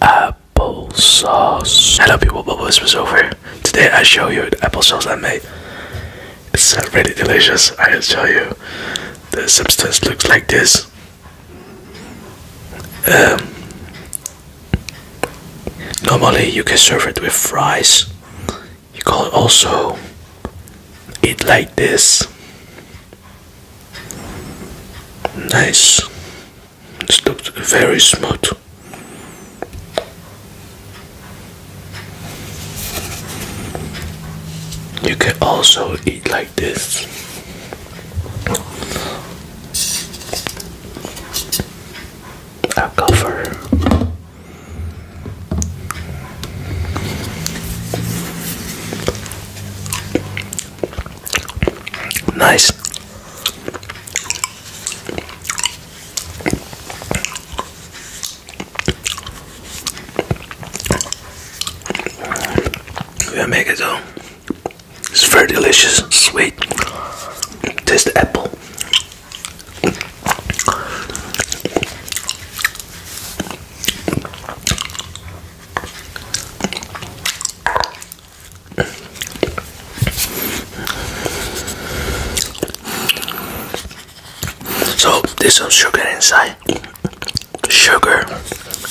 Apple sauce. Hello people, Bubble is over. Today I show you the apple sauce I made. It's uh, really delicious, I can show you. The substance looks like this. Um, normally you can serve it with fries. You can also eat like this. Nice. It looks very smart. You can also eat like this. A cover. Nice. We make it though. It's very delicious, sweet. Taste the apple. So there's some sugar inside. Sugar,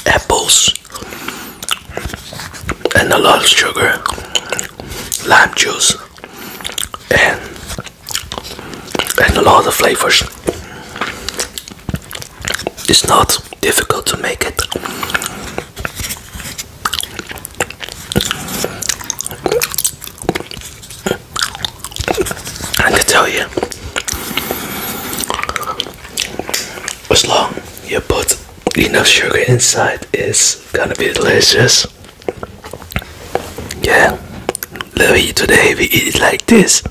apples, and a lot of sugar, lime juice, and and a lot of flavors. It's not difficult to make it. I can tell you, as long you put enough sugar inside, it's gonna be delicious. Yeah, today we eat it like this.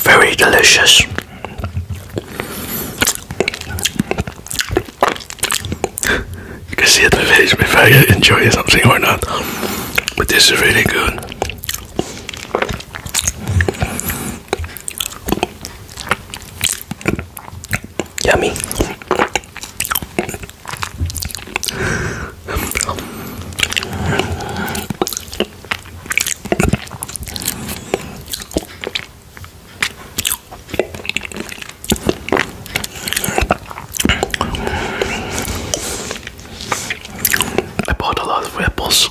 Very delicious. You can see it in the face if I enjoy something or not, but this is really good. Yummy. I bought a lot of apples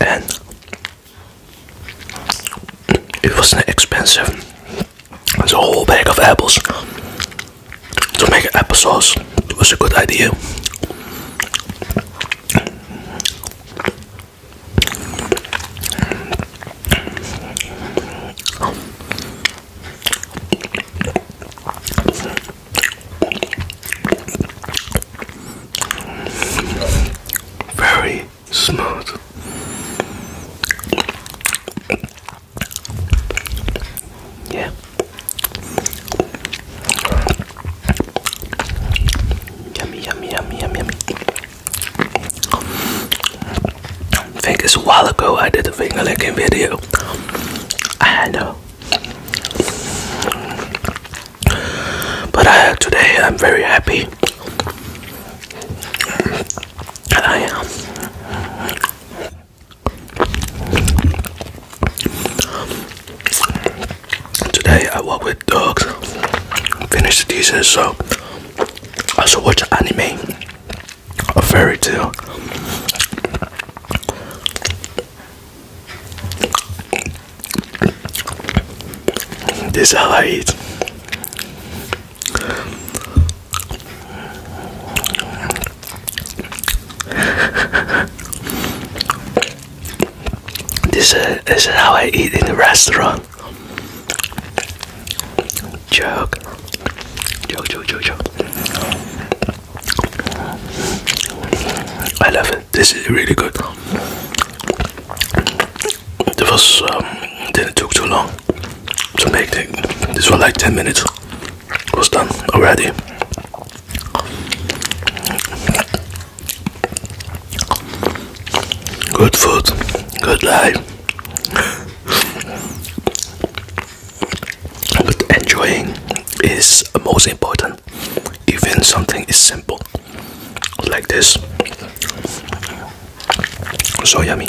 and it wasn't expensive. It's a whole bag of apples to make applesauce. It was a good idea. Very smooth. Yeah. Yummy, yummy, yummy, yummy, I think it's a while ago I did a finger licking video. I know. But I, today I'm very happy. I am. Today I work with dogs, Finished the season, so I also watch anime, a fairy tale. This is how I eat. this, uh, this is how I eat in the restaurant. joke, joke, joke, joke. I love it. This is really good. It was um, did took too long to make it. This was like 10 minutes. It was done already. Good food, good life. But enjoying is most important, even something is simple like this. So yummy.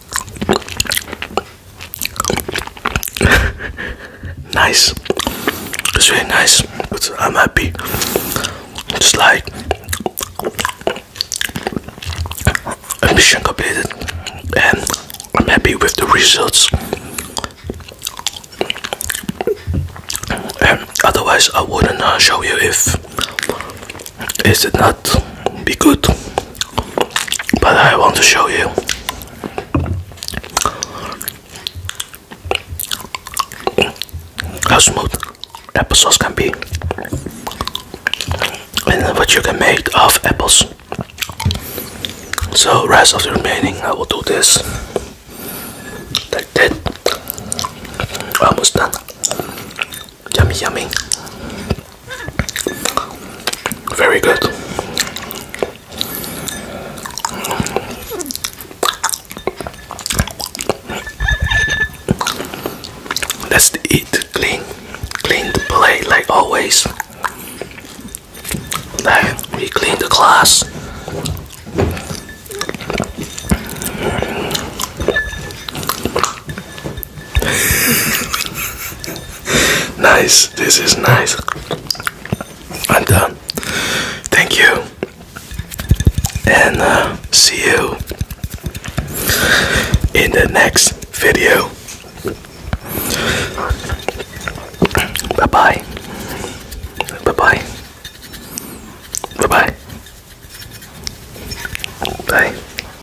nice. It's really nice. But I'm happy. It's like mission completed, and I'm happy with the results. otherwise, I wouldn't uh, show you if it not be good but I want to show you. How smooth applesauce can be, and what you can make of apples. So, rest of the remaining, I will do this like that. Almost done. Yummy, yummy. Very good. Let's eat clean, clean the plate like always. Then we clean the glass. nice. This is nice. I'm done. Thank you. And uh, see you in the next video. Bye bye. Bye bye. Bye bye. Bye.